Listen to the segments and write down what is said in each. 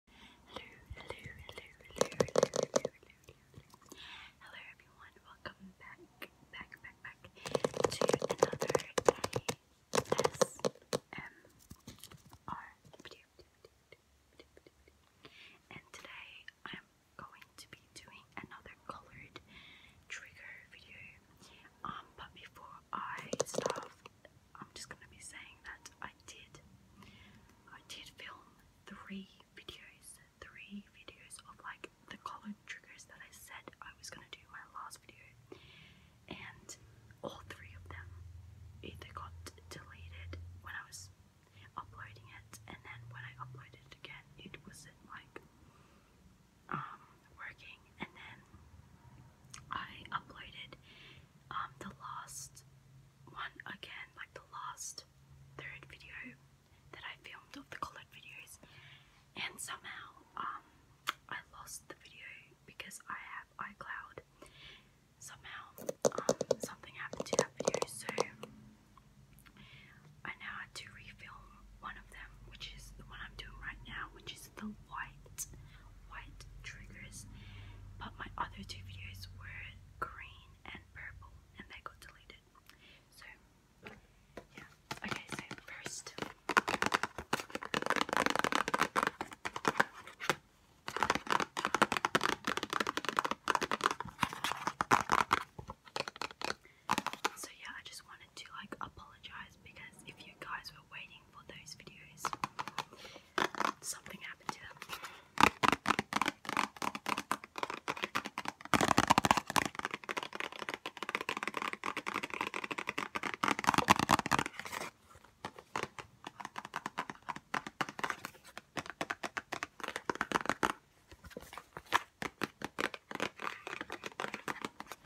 Hello, everyone, welcome back, back, back, back to another ASMR And today I'm going to be doing another colored trigger video. Um, but before I start I'm just going to be saying that I did. I did film three videos, three videos of like the color triggers that I said I was going to do my last video, and all three of them either got deleted when I was uploading it, and then when I uploaded it again, it wasn't like um working, and then I uploaded um, the last one again, like the last third video that I filmed of the colored videos, and somehow um, I lost the video because I have iCloud. Somehow um, something happened to that video, so I now have to refilm one of them, which is the one I'm doing right now, which is the white white triggers but my other two videos were green and purple and they got deleted so yeah okay so first so yeah I just wanted to like apologize because if you guys were waiting waiting those videos. Something happened to them.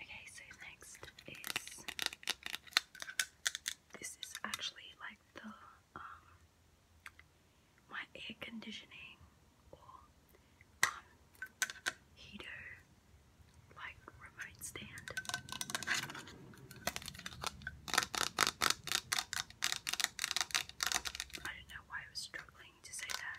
Okay, so next is this is actually like the um, my air conditioning or um, heater, like remote stand. I don't know why I was struggling to say that.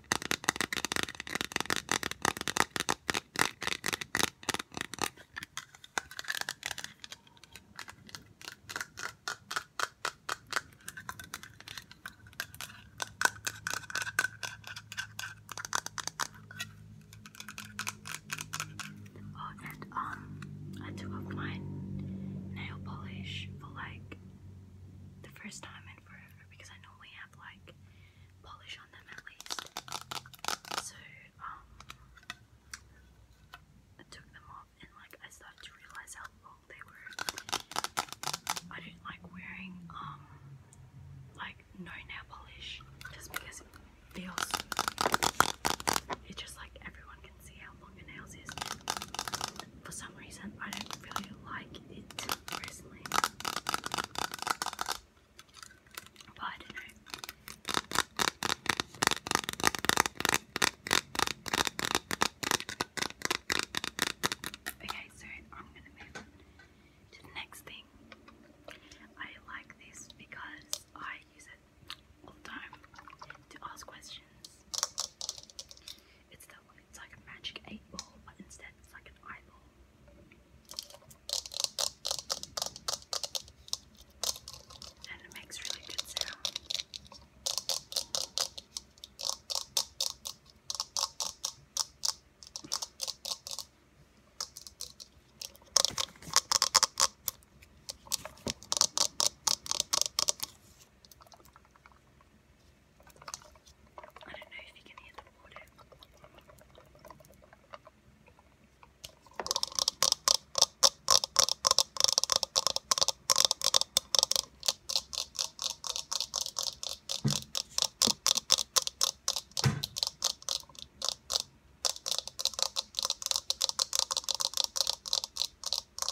Oh, and um, I took my nail polish for like the first time in forever because I normally have like polish on them at least. So, um, I took them off and like I started to realize how long they were. I don't like wearing, um, like no nail polish just because it feels. It's just like everyone can see how for some reason, I don't really like it personally. But Okay, so I'm gonna move to the next thing. I like this because I use it all the time to ask questions. It's that one. It's like a magic eight ball, but instead it's like an eyeball. And it makes really good sound. I don't know if you can hear the water.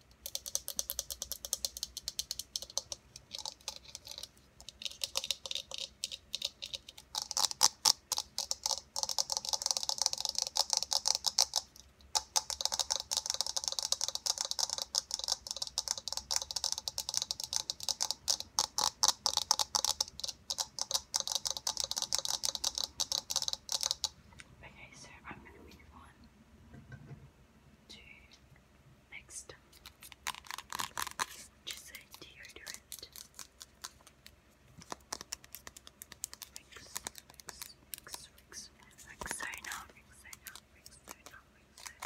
Okay, so I'm going to move on to next, which is a deodorant mix, mix, mix, mix, Rexona, Rexona, Rexona, Rexona,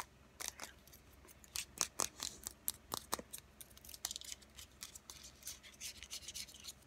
Rexona.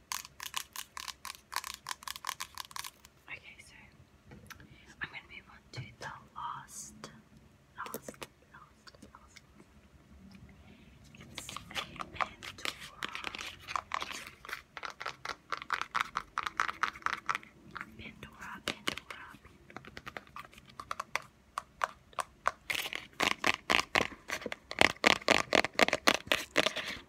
Okay, so I'm going to move on to the last, last, last, last. It's Pandora. Pandora, Pandora, Pandora.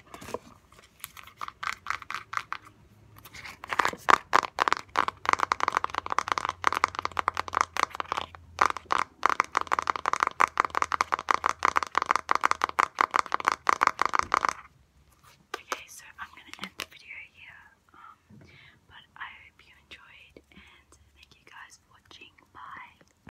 Okay, so I'm gonna end the video here. Um, but I hope you enjoyed, and thank you guys for watching. Bye.